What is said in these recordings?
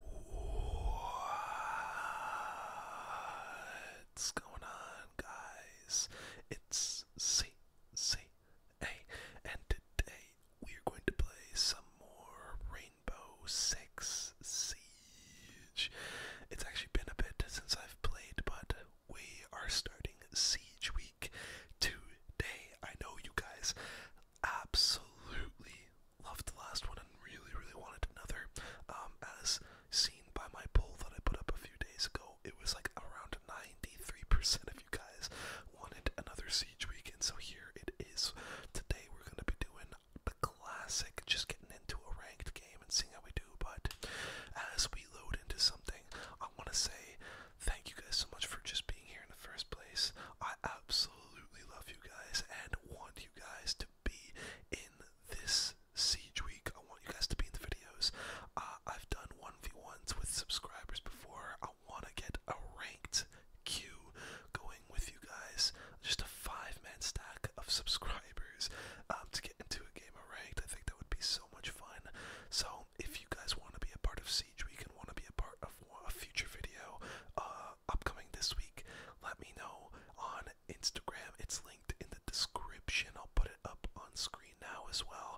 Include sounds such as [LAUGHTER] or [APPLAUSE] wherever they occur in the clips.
What's going on, guys? It's CCA, and today we're going to play some more Rainbow Six Siege. It's actually been a bit since I've played, but we are starting Siege Week today. I know you guys absolutely loved the last one and really, really wanted another. Um, as seen by my poll that I put up a few days ago, it was like around 93% of you guys wanted another Siege Weekend, so here it is. Today we're going to be doing the classic, just getting into a ranked game and seeing how we do, but as we load into something, I want to say thank you guys so much for just being here in the first place. I absolutely love you guys and want you guys to be in this siege week. I want you guys to be in the videos. Uh, I've done 1v1s with subscribers before. I want to get a ranked queue going with you guys. Just a five man stack of [LAUGHS] subscribers um, to get into a game of ranked. I think that would be so much fun. So, if you guys want to be a part of Siege Week and want to be a part of a future video, uh, uh, upcoming this week, let me know on Instagram. It's linked in the description. I'll put it up on screen now as well.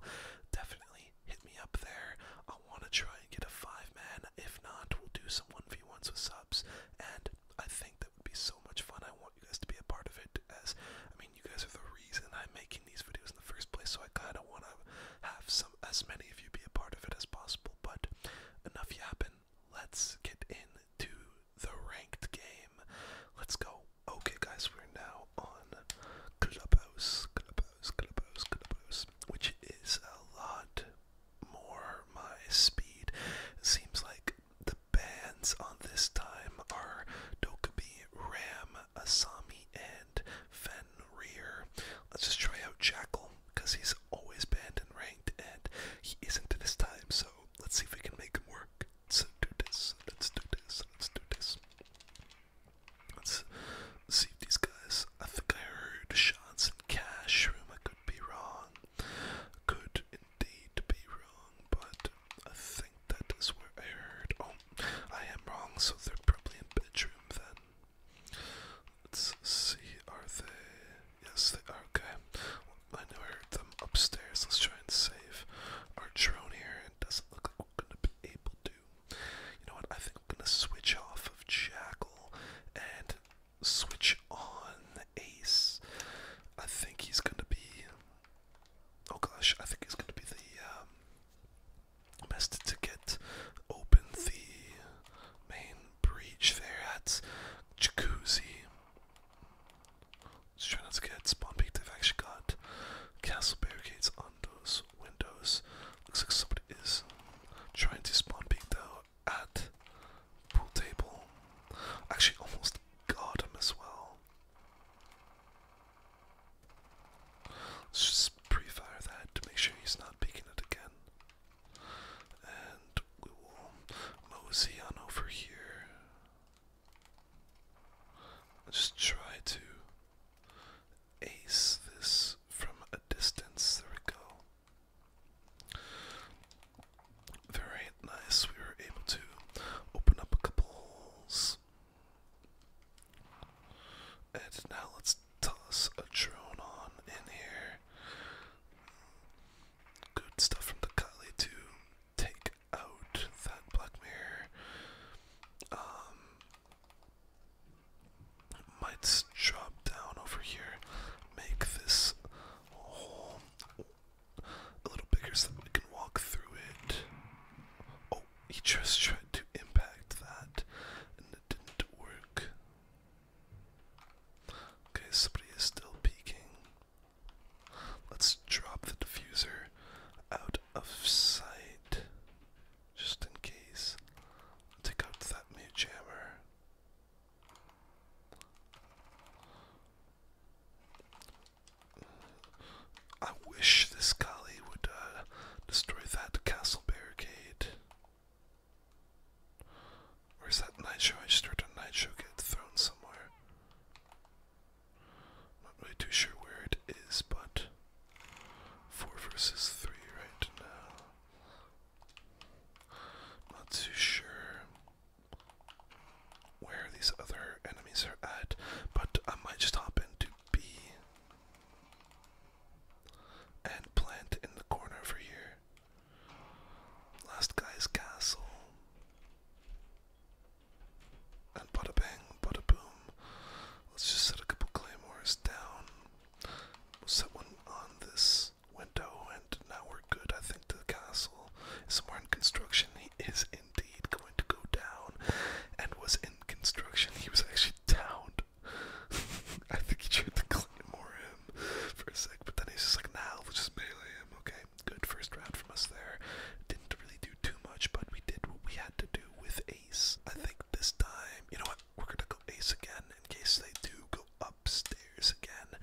Definitely hit me up there. I want to try and get a five man. If not, we'll do some 1v1s with subs. And I think that would be so much fun. I want you guys to be a part of it. As I mean, you guys are the reason I'm making these videos in the first place. So I kind of want to have some as many of you be a part of it as possible. But enough yapping let's get into the ranked game. Let's go. Okay, guys, we're now on Clubhouse, Clubhouse, Clubhouse, Clubhouse, which is a lot more my speed. Seems like the bands on this time are Dokubi, Ram, Asami, and Fenrir. Let's just try out Jackal because he's always banned and ranked, and he isn't this time. So let's see if we can make him work. Let's do this. Let's do this. Let's do this. Let's see if these guys. I think I heard shots in cash room. I could be wrong. Could indeed be wrong, but I think that is where I heard. Oh, I am wrong. So they're probably in bedroom then. Let's see, are they? Yes, they are. Okay. I never heard them upstairs. Let's try and save our drone here. It doesn't look like we're going to be able to. You know what? I think I'm going to switch off of Jackal and switch on Ace. I think he's going to be. Oh gosh, I think he's going to be the um, best to get open the main breach there. That's jacuzzi. let not to get spawn peaked. They've actually got castle barricades on those windows. Looks like somebody is trying to spawn peek though at pool table. Actually, almost got him as well. Let's just pre-fire that to make sure he's not peeking it again. And we will mosey on over here. Just try to ace this from a distance. There we go. Very nice. We were able to open up a couple holes. And now let's toss a drone on in here. Good stuff from the Kali to take out that Black Mirror. Um, might drop down over here, make this hole a little bigger so we can walk through it. Oh, he just tried to impact that, and it didn't work. Okay, somebody is still peeking. Let's drop the diffuser out of sight just in case. Take out that mute hammer. I wish this gully would uh, destroy that castle barricade. Where's that night show? I just heard a Nitro get thrown somewhere. Not really too sure where it is, but four versus three right now. Not too sure where these other enemies are at, but I might just hop into B. And plant in the corner over here. Last guy's castle. And bada bang, bada boom. Let's just set a couple claymores down. We'll set one on this window, and now we're good. I think the castle somewhere in construction. He is indeed going to go down, and was in construction. He was actually down [LAUGHS] I think he tried to claymore him for a sec, but then he's just like, nah, we'll just melee him. Okay, good first round from us there. Didn't really do too much, but we did what we had to do with ace. I think this time, you know what, we're gonna go ace again in case they do go upstairs again.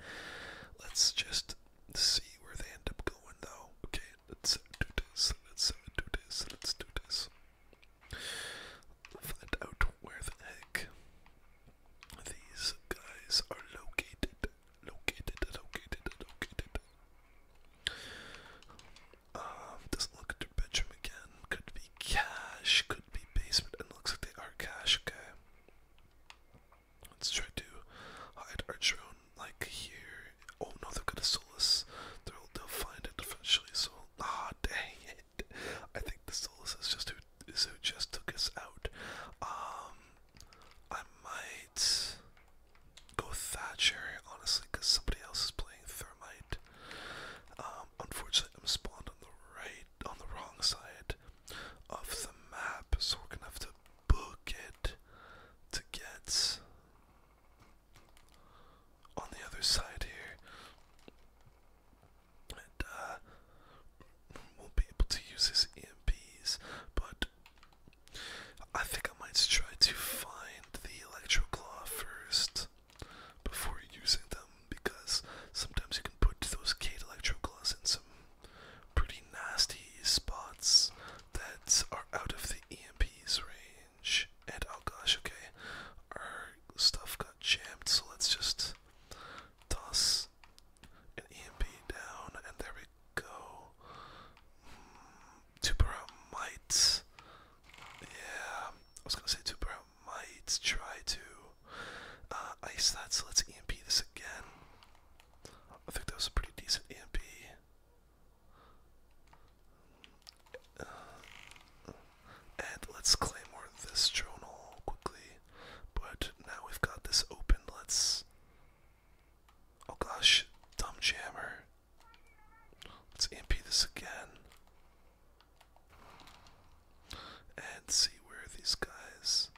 Let's just see where they end up going though. Okay, let's do this, let's uh, do this, let's do this. Find out where the heck these guys are located. Located, located, located. doesn't um, look at their bedroom again. Could be cash, could be basement, and looks like they are cash, okay. Let's try to hide our drone like here. Oh no, they are gonna solace. they they'll find it eventually, so. Ah, dang it. I think the Solus is just who is who just took us out. Um, I might go Thatcher honestly because somebody else is playing Thermite. Um, unfortunately, I'm spawned on the right, on the wrong side of the map, so we're gonna have to book it to get on the other side here and uh, will be able to use his EMPs, but I think I might try to find the Electroclaw first before using them, because sometimes you can put those Kate Electroclaws in some pretty nasty spots that are out of the EMP's range. And oh gosh, okay, our stuff got got so let's just toss an EMP down, and there we go. Mm, might. Yeah, I was gonna say two might try to uh, ice that, so let's EMP this again. I think that was a pretty decent EMP and let's claymore this journal quickly. But now we've got this open, let's. Oh gosh, dumb jammer. Let's MP this again. And see where these guys.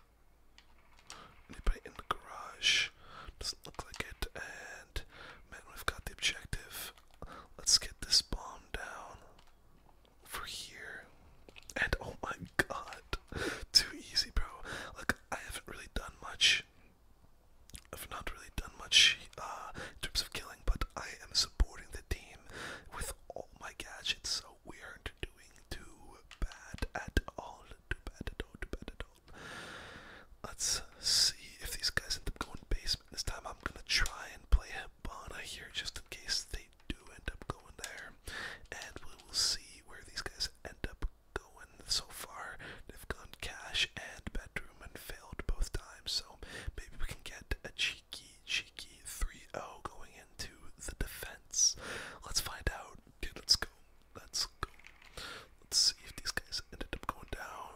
Anybody in the garage? Doesn't look like it. And man, we've got the objective. Let's get this bomb down for here. And oh my god, too easy, bro. Like, I haven't really done much. I've not really done much uh, in terms of killing, but I am supporting the team with all my gadgets, so we aren't doing too bad at all. Too bad at all, too bad at all. Let's see if these guys end up going base this time I'm gonna try and play Hibana here just in case they do end up going there. And we will see where these guys end up going so far. They've gone cash and bedroom and failed both times, so maybe we can get a cheeky, cheeky 3-0 going into the defense. Let's find out. let's go. Let's go. Let's see if these guys ended up going down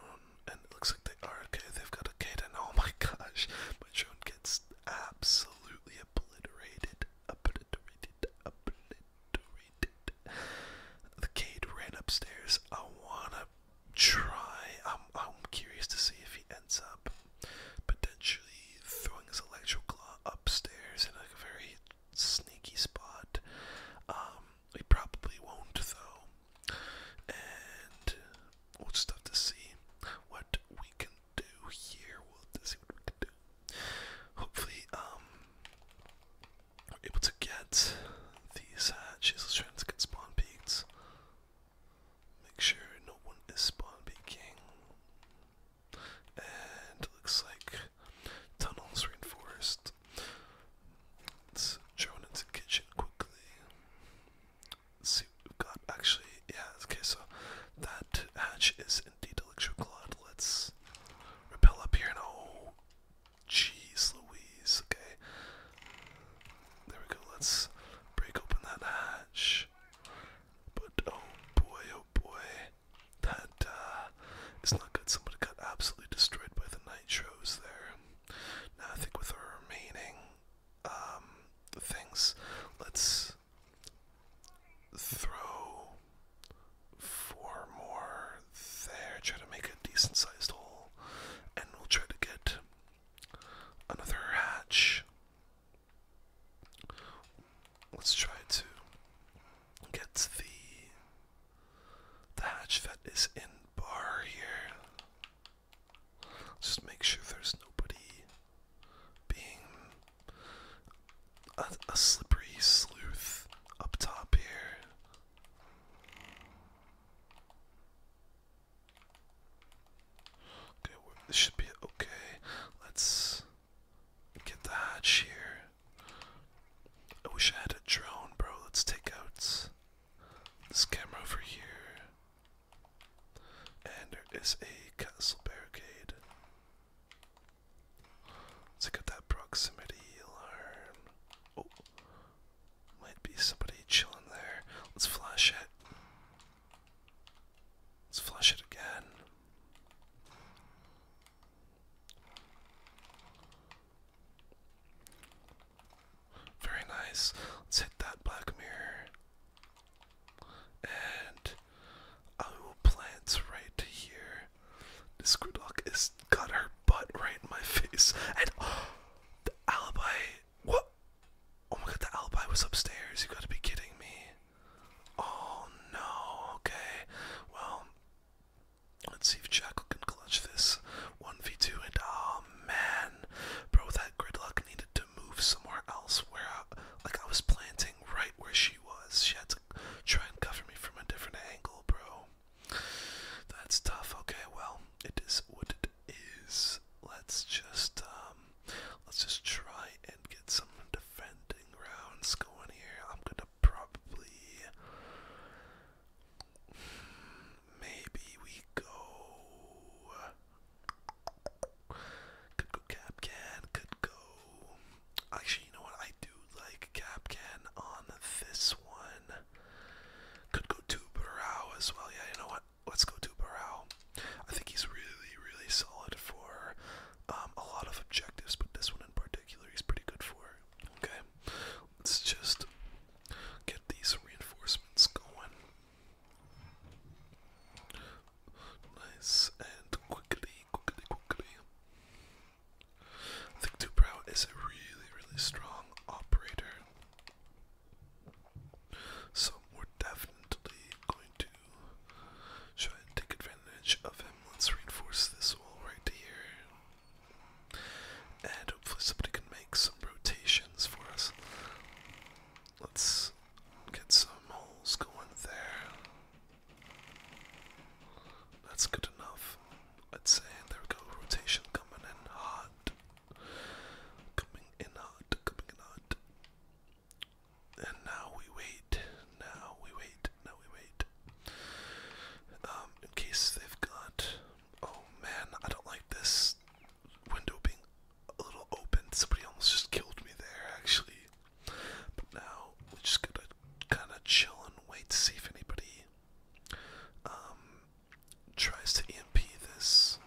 and looks like they are okay. They've got a kid, and oh [LAUGHS] my gosh, my drone gets absolutely obliterated, obliterated, obliterated. The kid ran upstairs. I wanna try. I'm I'm curious to see if he ends up potentially throwing his electroclaw upstairs in like a very sneaky spot. Um, we probably won't though and we'll just have to see what we can do here. We'll see what we can do. Hopefully, um, we're able to get these hatches. Uh, let to get spawn peaks. Make sure no one is spawn king. And it looks like tunnels reinforced. Let's throw into the kitchen quickly. Let's see what we've got. Actually, yeah, okay, so that hatch is indeed cloud. Let's repel up here and oh, jeez Louise, okay. There we go, let's break open that hatch. But oh boy, oh boy, that uh, is not good. Somebody got absolutely destroyed by the nitros there. Nothing I with our remaining um, things. Let's throw four more there, try to make a decent sized hole, and we'll try to get another hatch. Let's try to get the the hatch that is in bar here. Just make sure there's nobody being a, slippery sleuth up top here. Okay, this should be okay. Let's get the hatch here. I wish I had a drone, bro. Let's take out this camera over here. And there is a castle barricade. Let's look that proximity alarm. Oh, might be somebody chilling there. Let's flash it. Let's flash it again. Very nice. Let's hit that black mirror. And I will plant right here. This Grudok is got her butt right in my face. And oh, [GASPS] the alibi. What? Oh my god, the alibi was upstairs. You gotta be kidding me. Oh no. Okay. Well, let's see if Jackal can clutch this. 1v2, and oh man, bro, that gridlock needed to move somewhere else where, I, like, I was planting right where she was. She had to try and cover me from a different angle, bro. That's tough. Okay, well, it is what it is. Let's just, um, let's just try and get some defending rounds going here. I'm gonna probably. Maybe we go. Could go Capcan, could go. Actually, you know what? I do like Capcan on this one. Could go to as well. Yeah, you know what? Let's go to Barao. I think he's really, really solid for um, a lot of objectives, but this one in particular he's pretty good for. Okay, let's just get these reinforcements going. Nice and quickly, quickly, quickly. I think Dubrow is a really, really strong operator. So we're definitely going to try and take advantage of him. Let's reinforce this wall right here. And hopefully somebody can make some rotations for us. Let's get some holes going there. That's good enough. I'd say there we go. Rotation coming in hot. Coming in hot. Coming in hot. And now we wait. Now we wait. Now we wait. Um, in case they've got Oh man, I don't like this window being a little open. Somebody almost just killed me there, actually. But now we're just gonna kind of chill and wait to see if anybody um, tries to EMP this.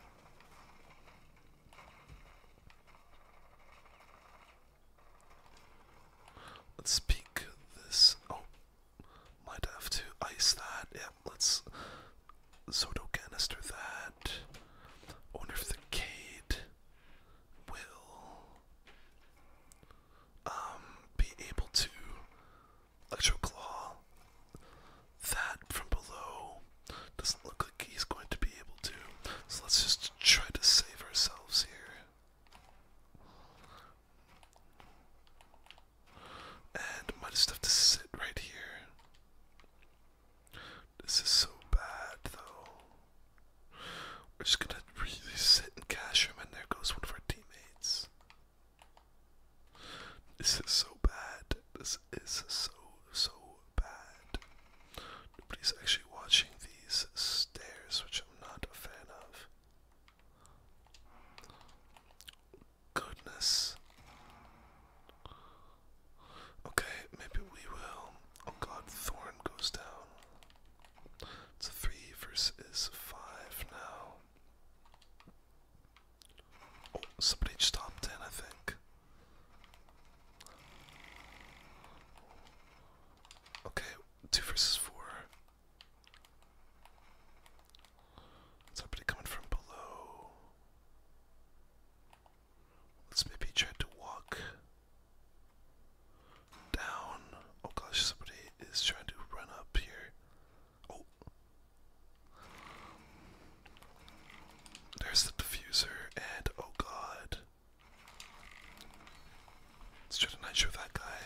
Let's peek this. Oh, might have to ice that. let's Soto canister that. wonder if the Cade will um, be able to Electroclaw that from below. Doesn't look like he's going to be able to. So let's just try to save ourselves here. And might just have to sit right here. This is so bad, though. We're just gonna really sit and cash him, and there goes one of our teammates. This is so bad. This is so, so bad. Nobody's actually watching these stairs, which I'm not a fan of goodness. Okay, maybe we will. Oh god, Thorn goes down. It's a 3 versus 5 now. Oh, somebody stopped in, I think. Okay, 2 versus 4. Somebody coming from below. Let's maybe try to walk down. Oh gosh, somebody is trying to run up here. Oh. There's the diffuser, and oh god. Let's try to that guy.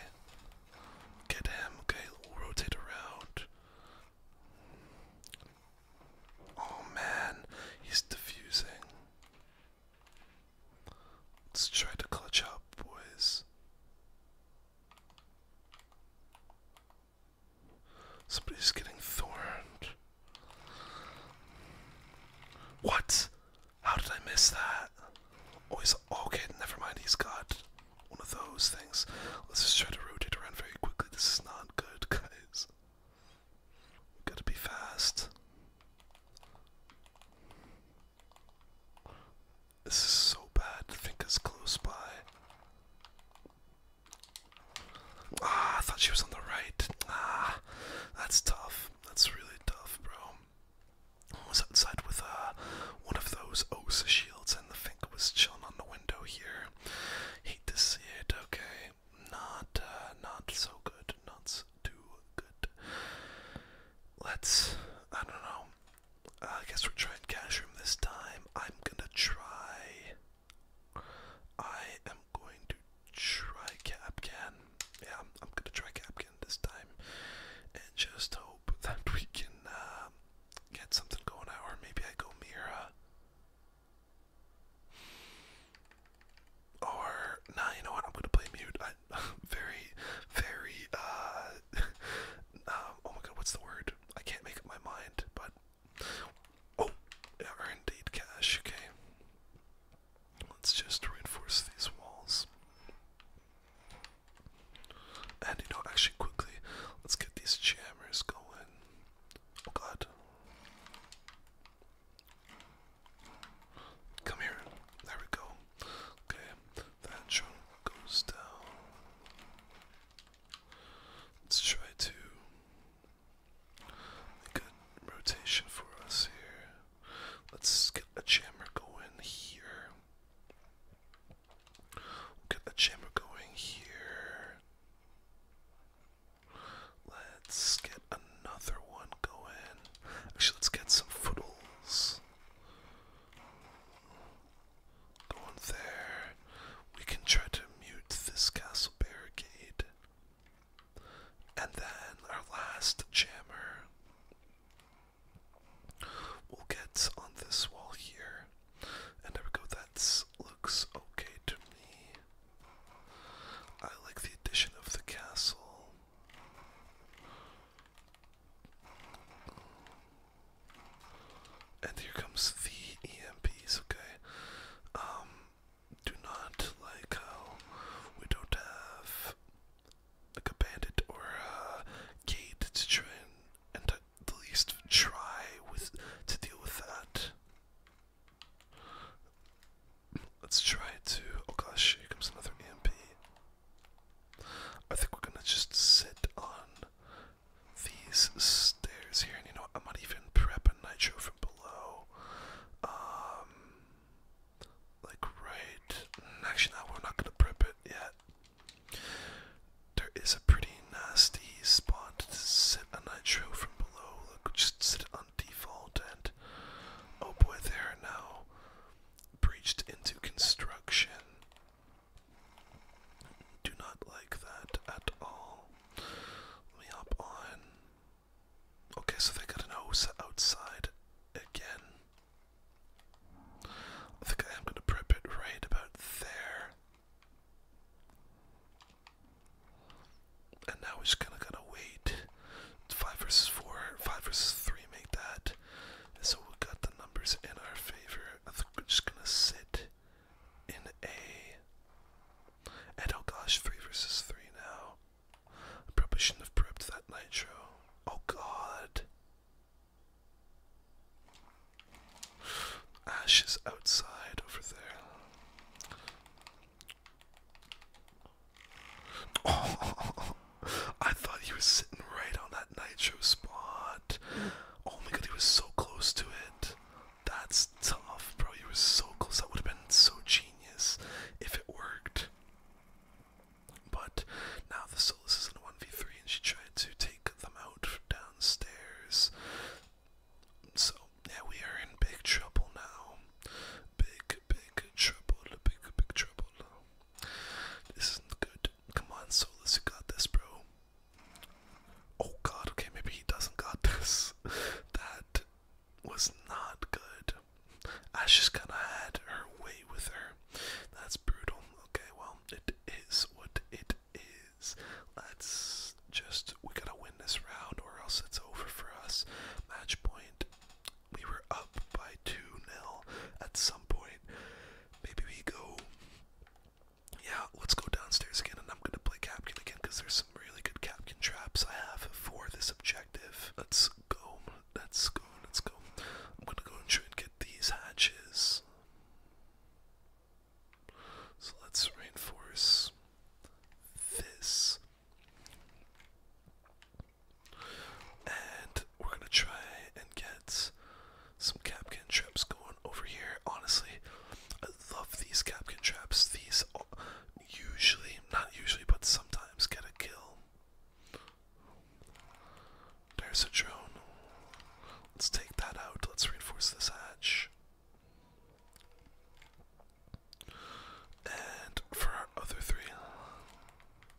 Get him. Okay, we'll rotate around. Oh man, he's diffusing. Let's try to clutch up, boys. Somebody's getting thorned. What? How did I miss that? Oh, he's okay. Never mind. He's got one of those things. Let's just try to rotate around very quickly. This is not good, guys. got to be fast. This is so bad to think is close by. Ah, I thought she was on the right. Ah, that's tough. That's really tough, bro. I was with uh, one of those Osa shields and the fink was chilling on the window here. Hate to see it. Okay, not uh, not so good. Not too good. Let's. I don't know. Uh, I guess we're trying cash room this time. I'm gonna try. I am going to try Capcan. Yeah, I'm, I'm gonna try Capcan this time, and just hope that we can uh, get something going out, or maybe I go Mira. Or nah, you know what? I'm gonna play mute. I, [LAUGHS] very, very. Uh, [LAUGHS] um, oh my god, what's the word? I can't make up my mind. But oh, yeah, are cash. Okay, let's just reinforce these walls. And you know, actually, quickly, let's get these jammers going. Oh god. Come here. There we go. Okay, that drone goes down. Let's try to make a rotation for us here. Let's get a jammer going here we get a chamber going here. Let's get another one going. Actually, let's get some footles. Going there. We can try to mute this castle barricade. And then our last jammer. We'll get on this wall here. And there we go. That looks okay to me. I like the addition of the castle. And here comes the EMPs, okay? Um, do not like how we don't have like a bandit or a gate to try and, and at least try with to deal with that. Let's try to. Oh gosh, here comes another EMP. I think we're gonna just sit on these stairs here, and you know I'm not even prepping nitro from below. Um, like right. Actually, no, we're not gonna prep it yet. There is a pretty nasty spot to sit a nitro from below. Look, just sit on default and oh boy, they are now breached into construction. Do not like that at all. me hop on. Okay, so they got an OSA outside again. I think I am going to prep it right about there. And now we're just kind of going to wait. Five versus four, five versus three make that. so we got the numbers in our favor. I think we're just going to sit in A. And oh gosh, three versus three now. I probably shouldn't have prepped that nitro. Oh god. Ashes outside over there. Oh, [LAUGHS] I thought he was sitting right on that nitro spot. Oh my god, he was so close to it. That's tough, bro. He was so close. That would have been so genius if it worked. But now the Solis is a 1v3 and she tried to take them out downstairs. So, yeah, we are in big trouble now. Big, big trouble. Big, big trouble. This isn't good. Come on, Solis, you got this, bro. Oh god, okay, maybe he doesn't got [LAUGHS] this. that was not good. Ash kinda had her way with her. That's brutal. Okay, well, it is what it is. Let's just, we gotta win this round or else it's over for us. Match point. We were up by 2 nil at some point. Maybe we go. Yeah, let's go downstairs again and I'm gonna play Captain again because there's some really good Captain traps I have for this objective. Let's go. Let's go. Let's go. I'm gonna go and try and get these hatches. So let's reinforce this. And we're gonna try and get some capcan traps going over here. Honestly, I love these capcan traps. These usually, not usually, but sometimes get a kill. There's a drone. Let's take that out. Let's reinforce this hatch. And for our other three.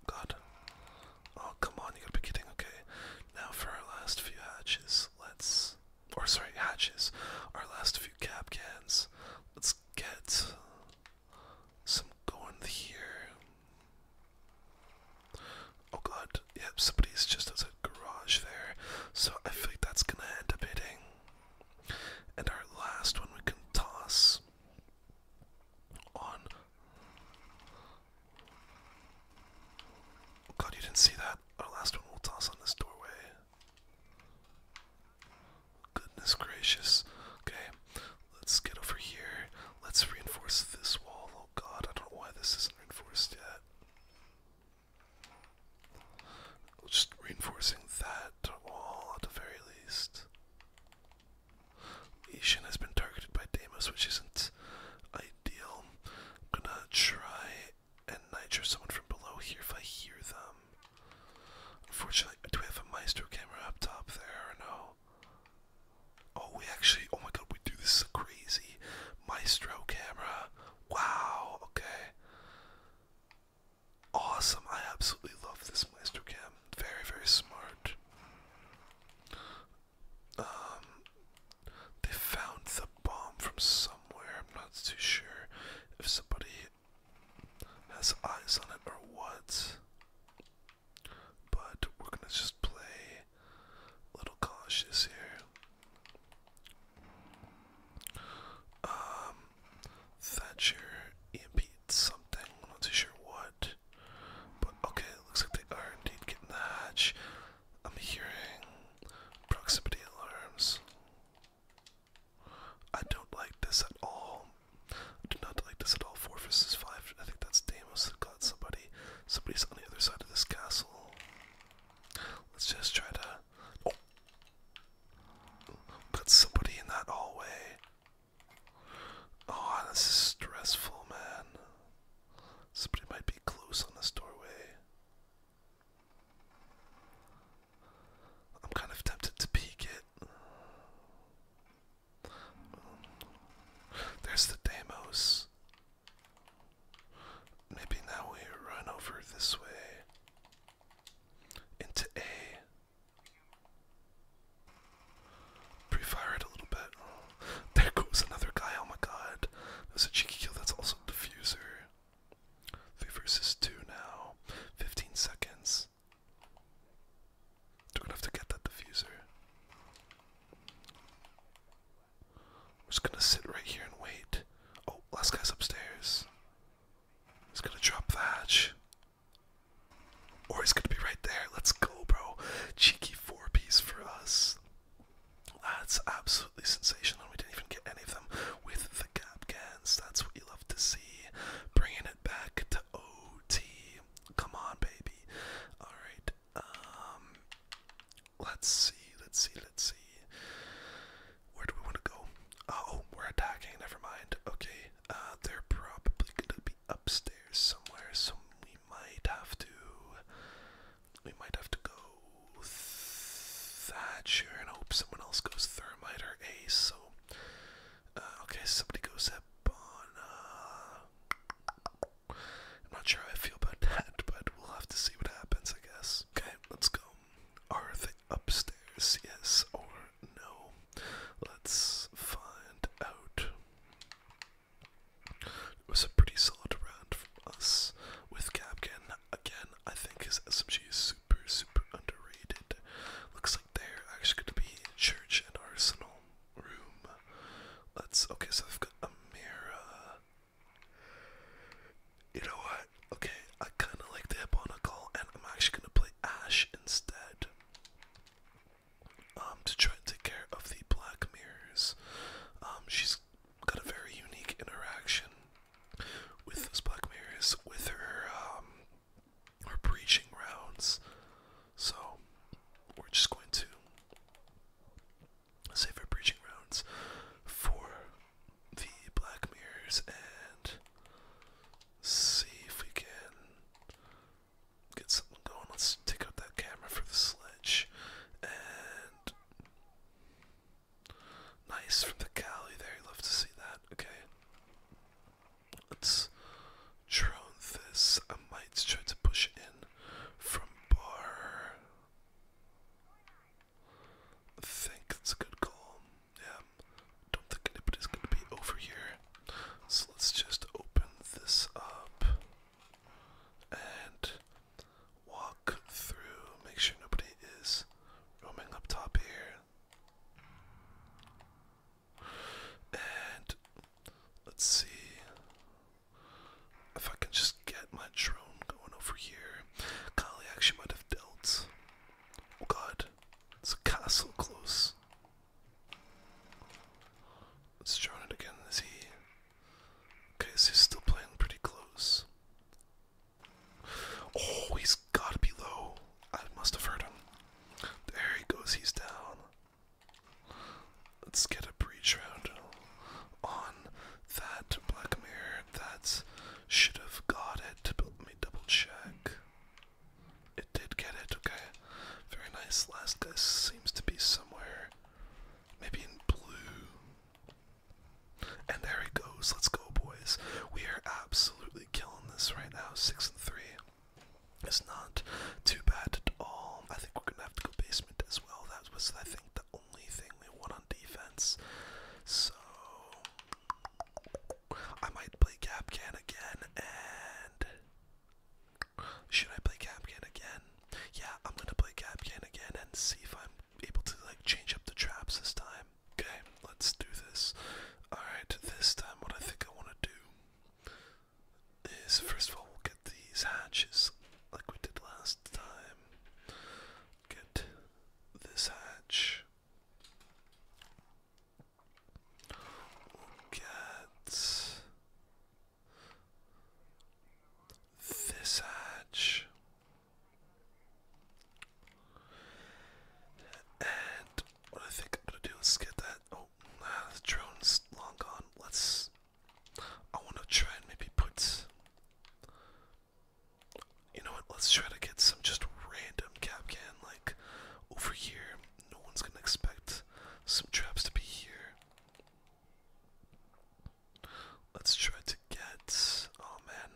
God. Oh, come on, you gotta be kidding. Okay. Now for our last few hatches, let's. Or, sorry, hatches. Our last few cab cans. Let's get some going here. Oh god, yep, somebody's just outside the garage there. So I feel like that's gonna end up hitting. And our last one we can toss on. Oh god, you didn't see that. Our last one we'll toss on this doorway. Goodness gracious. Okay, let's get over here. Let's reinforce this wall. Oh god, I don't know why this isn't reinforced yet. Just reinforcing that wall at the very least. Ishin has been targeted by Deimos, which isn't ideal. I'm gonna try and nitro someone from below here if I hear them. Unfortunately, do we have a maestro camera up top there no? Oh, we actually, oh my god, we do this is crazy. Maestro camera. Wow, okay. Awesome, I absolutely love this Maestro cam. Very, very smart. Um, they found the bomb from somewhere. I'm not too sure if somebody has eyes on it or what. But we're gonna just play a little cautious here. Um, Thatcher impedes something. i not too sure what. But okay, looks like they are indeed getting the hatch. I'm hearing proximity alarms. I don't like this at all. do not like this at all. Four versus five. I think that's Damos that got somebody. Somebody's on the other side of this castle. Let's just try to. Oh! Got somebody in that hallway. Oh, this is stressful, man. Somebody might be close on this doorway. I'm kind of tempted to peek it. There's the Deimos. Maybe now we run over this way into A. Pre-fire it a little bit. there goes another guy. Oh my god. That a cheeky kill. That's also diffuser. Three versus two now. 15 seconds. We're have to get that diffuser. We're just gonna sit right here and wait. Oh, last guy's upstairs. He's gonna drop thatch. Or he's gonna be right there. Let's go, bro. Cheeky four piece for us. That's absolutely sensational. We didn't even get any of them with the gap cans. That's what you love to see. Bringing it back to OT. Come on, baby. Alright, um, let's see, let's see, let's see. Where do we want to go? Uh, oh, we're attacking. Never mind. Okay, uh, they're probably gonna be upstairs somewhere, so we might have to. We might have to go Thatcher and hope someone else goes Thermite or Ace. So, uh, okay, somebody goes Ebon. Uh, I'm not sure how I feel about [LAUGHS] that, but we'll have to see what happens, I guess. Okay, let's go. Are upstairs? Yes or no? Let's find out. It was a pretty solid round for us with Capkin. Again, I think his SMG is super, super underrated. Looks like they're actually going to be Church and Arsenal room. Let's okay, so I've got a mirror. You know what? Okay, I kinda like the Hipponical and I'm actually gonna play Ash instead. Um, to try and take care of the black mirrors. Um, she's got a very unique interaction with those black mirrors with her um her preaching rounds. So we're just going to save our breaching rounds for the black mirrors and see if we can get something going. Let's take out that camera for the sledge and nice from the galley there. You love to see that. Okay. Let's drone this. I might try to push in from bar. I think it's a good call. Yeah. Don't think anybody's gonna be over here. So let's just open this up and walk through. Make sure nobody is roaming up top here. And let's see if I can just get my drone going over here. Kali actually might have dealt. Oh god, it's a castle close. Let's drone it again. Is he. Okay, so he's still playing pretty close. Oh, he's gotta be low. I must have heard him. There he goes, he's down. Let's get a breach round on that Black Mirror. That should have got it. let me double check. It did get it, okay. Very nice. Last guy seems to be somewhere. Maybe in blue. And there he goes. Let's go, boys. We are absolutely killing this right now. Six and three. It's not too bad at all. I think we're gonna have to go basement as well. That was, I think, the only thing we won on defense. So I might play Capcan again, and should I play Capcan again? Yeah, I'm gonna play Capcan again and see if I'm able to like change up the traps this time. Okay, let's do this. All right, this time what I think I want to do is first of all we'll get these hatches like we did last time. Get this hatch. We'll get this hatch. And what I think I'm gonna do is get that. Oh, the drone's long gone. Let's. I want to try and maybe put. You know Let's try to get some just random cap can like over here. No one's gonna expect some traps to be here. Let's try to get. Oh man,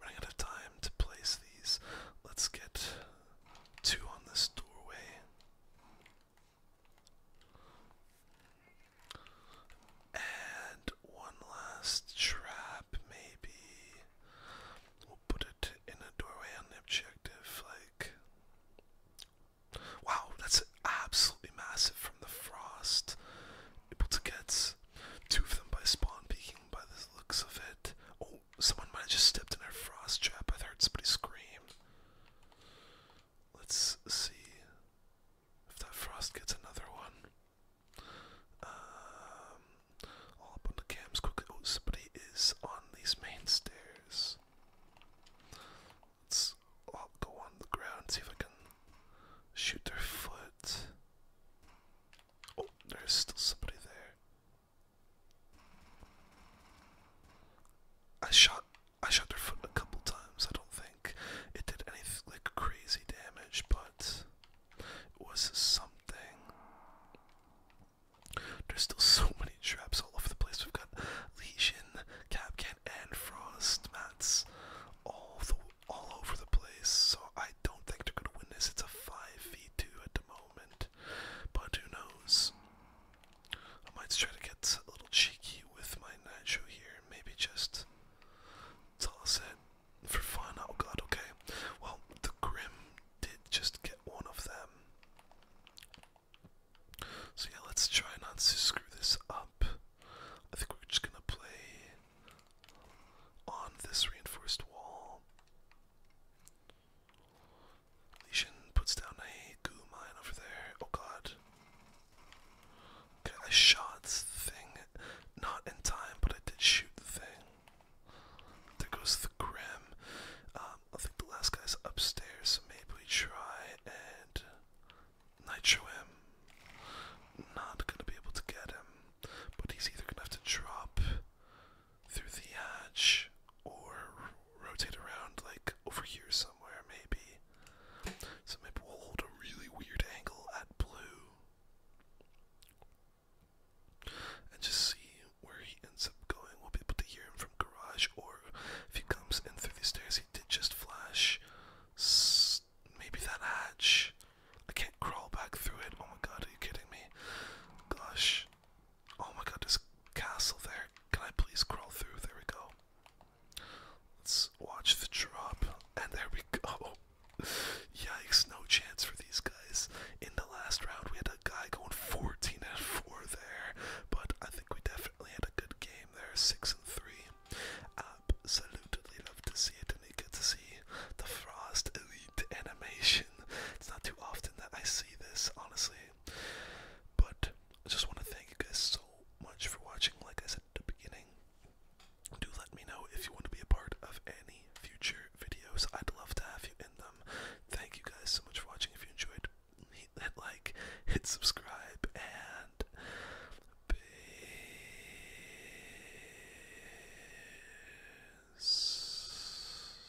running out of time to place these. Let's get two on this doorway. And one last trap, maybe. We'll put it in a doorway on the objective, like. Wow, that's absolutely massive from the frost. Able to get two of them by spawn peeking by the looks of it. Oh, someone might have just stepped in our frost trap. I've heard somebody scream. Let's see if that frost gets another one. Um, all up on the cams quickly. Oh, somebody is on these main stairs. Let's I'll go on the ground, see if I can shoot their foot. Oh, there's still somebody there. I shot I shot her foot a couple times. I don't think it did anything like crazy damage, but it was something. There's still [LAUGHS] so many traps all over the place. We've got Legion, Capcan, and Frost mats all the all over the place. So I don't think they're gonna win this. It's a five v two at the moment but who knows? I might try to get a little cheeky with my nacho here, maybe just toss it for fun. Oh god, okay. Well, the Grim did just get one of them. So yeah, let's try not to screw this up. I think we're just gonna play on this reinforced wall. Lesion puts down a goo mine over there. Oh god. Okay, I shot the thing. Not in time, but I did shoot the thing. There goes the Grim. Um, I think the last guy's upstairs, so maybe we try and nitro Not gonna be able to get him, but he's either gonna have to drop through the hatch or rotate around like over here somewhere maybe. So maybe we'll hold a really weird angle at blue and just see where he ends up going. We'll be able to hear him from garage or if he comes in through the stairs he did just flash maybe that hatch. I can't crawl back through it. Oh my god, are you kidding me? Gosh. Oh my god, this castle there. Can I please crawl through? There we go. Let's watch the drop. And there we go. [LAUGHS] Yikes, no chance for these guys. In the last round, we had a guy going 14 and 4 there. But I think we definitely had a good game there. 6 and 3. Absolutely love to see it. And you get to see the Frost Elite animation. It's not too often that I see this, honestly. But I just want to thank you guys so much for watching. Like I said at the beginning, do let me know if you want to be a part of any future videos. I'd love to have you in them. Thank you guys so much for watching. If you enjoyed, hit like, hit subscribe, and peace.